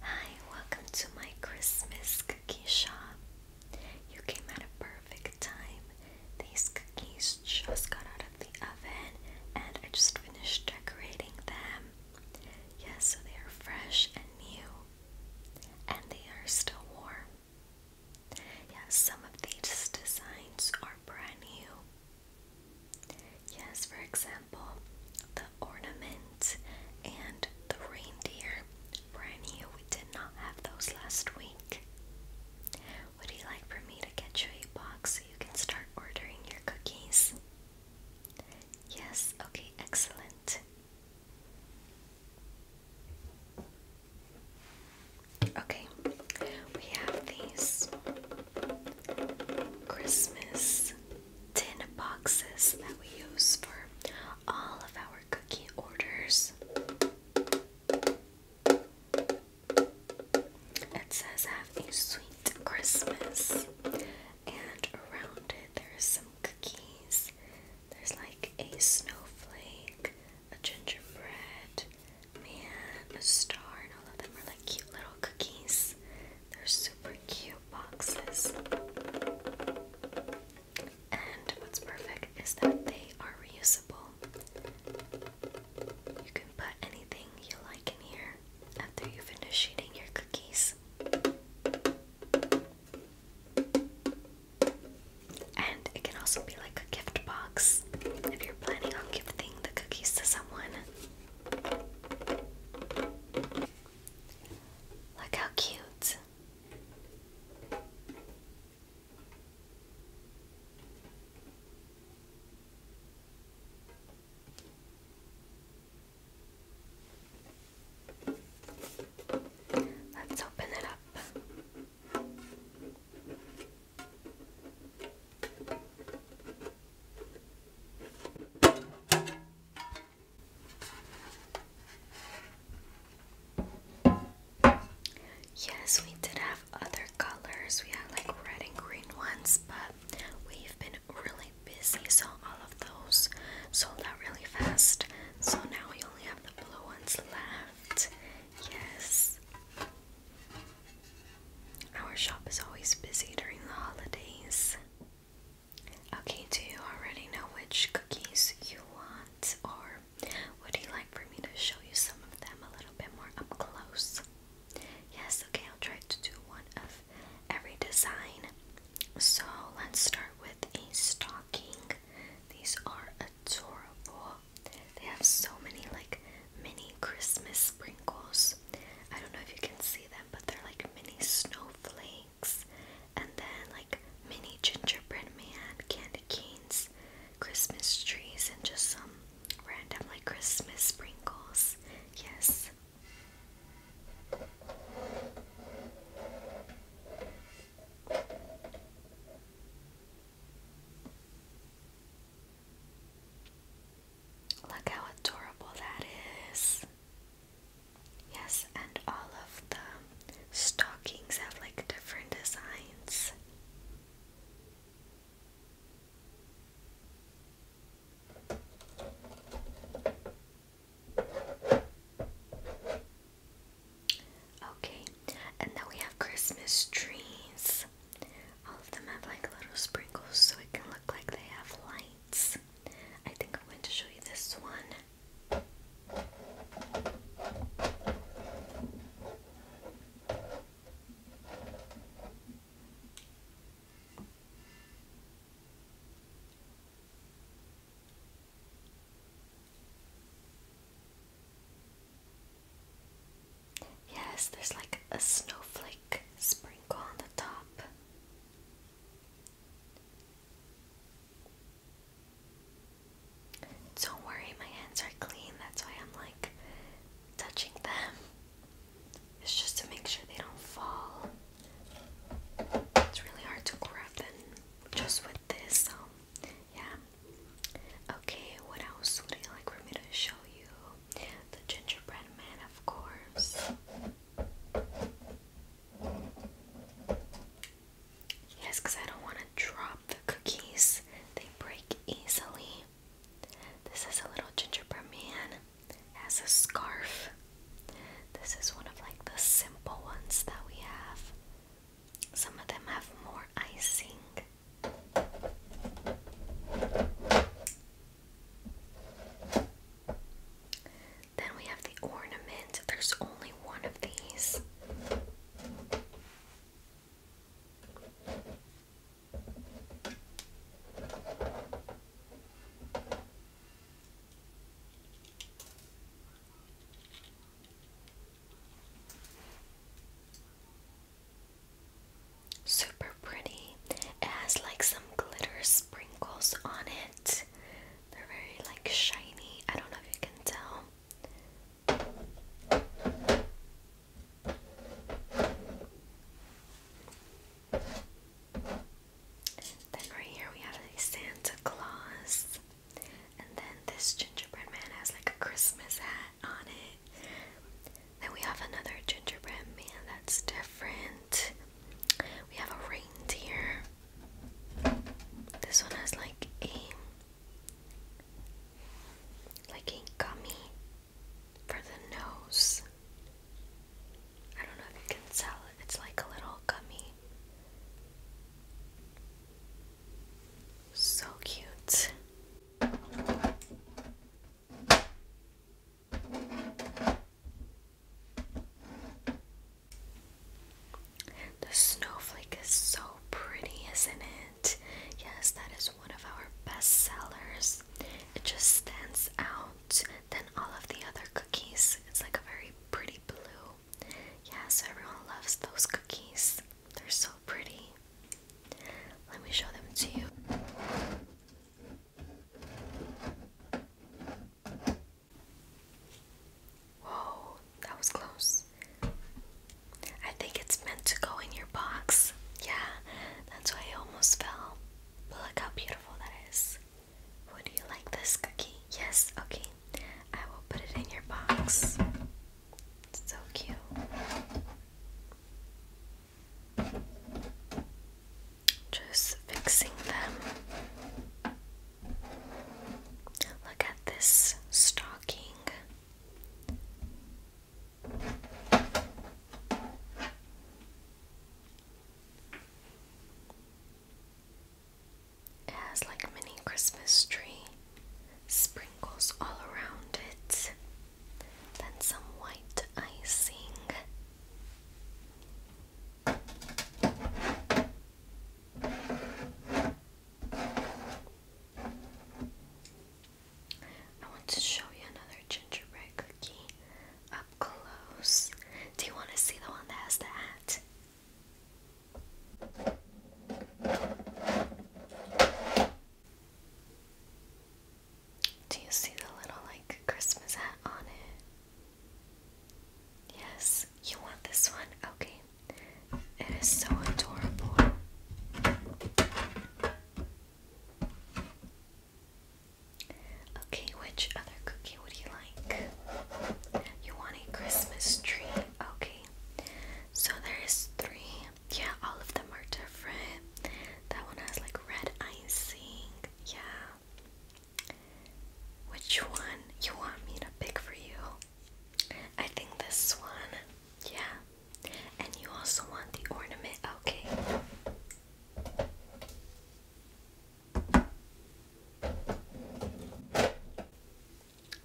Hi, welcome to my Christmas cookie shop. You came at a perfect time. These cookies just got out of the oven and I just finished decorating them. Yes, so they are fresh and new and they are still warm. Yes, some of these designs are brand new Yes, for example, the ornament and the reindeer. Brandy, we did not have those last week. Would you like for me to get you a box so you can start ordering your cookies? Yes, okay, excellent. Okay, we have these Christmas these tin boxes that we use for all of our cookie orders. It says, Have sweet Christmas. And around it, there is some cookies. There's like a snowflake, a gingerbread man, a star, and all of them are like cute cookies. They're super cute boxes. And what's perfect is that they are reusable. You can put anything you like in here after you finish eating your cookies. And it can also be like a gift box if you're planning on giving the cookies to someone. Look how cute. Let's open it up. Yes, we did have other colors. We had like red and green ones, but we've been really busy, so all of those sold out really fast. So now we only have the blue ones left. Yes. Our shop is always busy during the holidays. Okay, do you already know which cookies you want, or would you like for me to show you some of them a little bit more up close? Yes, okay, I'll try to do one of every design. So let's start with a stocking. These are adorable. They have so many like mini Christmas sprinkles. I don't know if you can see them, but they're like mini snowflakes and then like mini gingerbread man, candy canes, Christmas trees, and just some random like Christmas sprinkles. Yes. Look how adorable that is. Yes, and all of the stockings have like different designs. Okay, and then we have Christmas trees. All of them have like little sprinkles so it can look like they have lights. I think I'm going to show you this one. Yes, there's like a snowflake sprinkle on the top. Don't worry, my hands are clean, that's why I'm like touching them. It's just to make sure they don't fall. It's really hard to grab them just with this. So, yeah. Okay, what else would you like for me to show you? The gingerbread man, of course. Yes, because I don't want to drop the cookies, they break easily. This is a little gingerbread man, has a scarf. This is one of like the simple ones that we have. Some of them have more icing. Then we have the ornament. There's only one of these. Super pretty. It has like some glitter sprinkles on it. They're very like shiny. I don't know if you can tell. Then right here we have a Santa Claus. And then this gingerbread man has like a Christmas hat on it. Then we have another gingerbread man that's different. We have a reindeer. This one has like a like a gummy for the nose. I don't know if you can tell it's like a little gummy. So cute. The snowflake is so pretty, isn't it? Yes, that is one of our best sellers. It just stands out than all of the other cookies. It's like a very pretty blue. Yes, everyone loves those cookies. They're so pretty. Let me show them to you. Whoa, that was close. I think it's meant to go in your box. Yeah, that's why I almost fell. But look how beautiful that is. Would you like this cookie? Yes, okay. I will put it in your box. so cute. Just fixing them. Look at this stocking. It has like mini Christmas tree, sprinkles all around it, then some white icing. I want to show you another gingerbread cookie. Um, close. Do you want to see the one that has the hat? Do you see the little like Christmas hat on it? Yes, you want this one? Okay. It is so adorable. Okay, which other cookie would you like? You want a Christmas tree? Okay. So there is three. Yeah, all of them are different. That one has like red icing. Yeah. Which one you want me to pick for you? I think this one. Yeah. And you also want the ornament. Okay.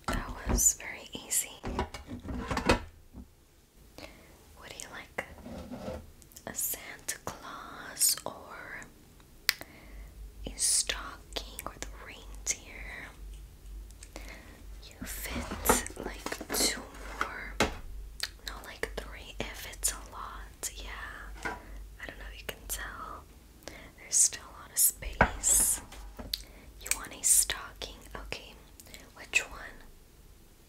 That was very easy. What you like? A Santa Claus or a stocking or the reindeer? You fit like two more no, like three if it's a lot. Yeah. I don't know if you can tell. There's still a lot of space. You want a stocking? Okay. Which one?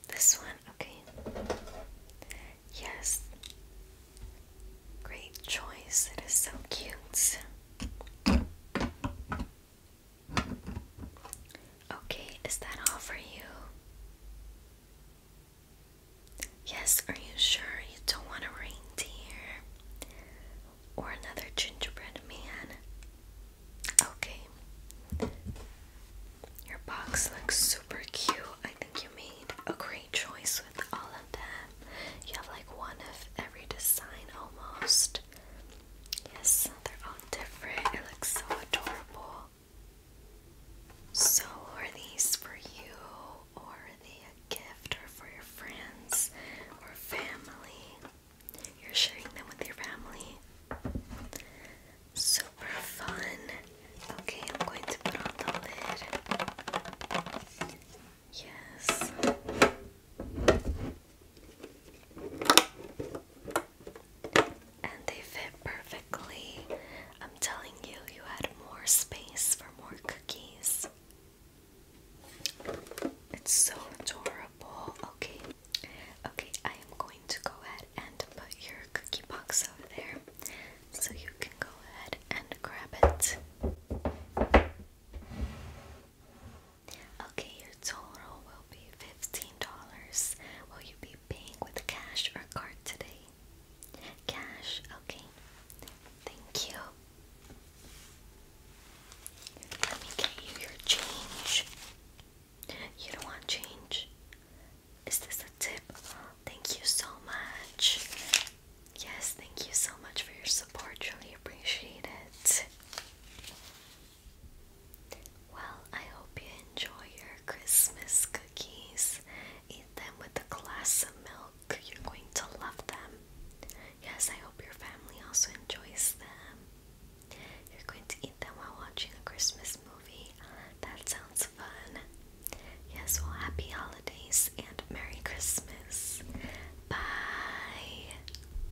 This one? Okay. Yes. Great choice. It is so cute. Okay, is that all for you? Yes, are you sure you don't want a reindeer? Or another gingerbread man? Okay. Your box looks super cute. I think you made a great choice with all of them. You have like one of every design almost. Yes, they're all different. It looks so adorable. So, are these for you, or the gift, or for your friends or family? You're sharing them with your family. Super fun. Okay, I'm going to put on the lid. Yes. And they fit perfectly. I'm telling you, you had more space for more cookies. It's so adorable. Okay. Okay, I am going to go ahead and put your cookie box over there so you can go ahead and grab it. Okay, your total will be $15. Will you be paying with cash or card today? Cash, okay. Thank you. Let me get you your change. You don't want change? Is this a tip? Thank you so much. Yes, thank you so much for your support. Really appreciate it. Well, I hope you enjoy your Christmas cookies. Eat them with a glass of milk. You're going to love them. Yes, I hope your family also enjoys them. You're going to eat them while watching a Christmas movie. That sounds fun. Yes, well, happy holidays and Merry Christmas. Bye.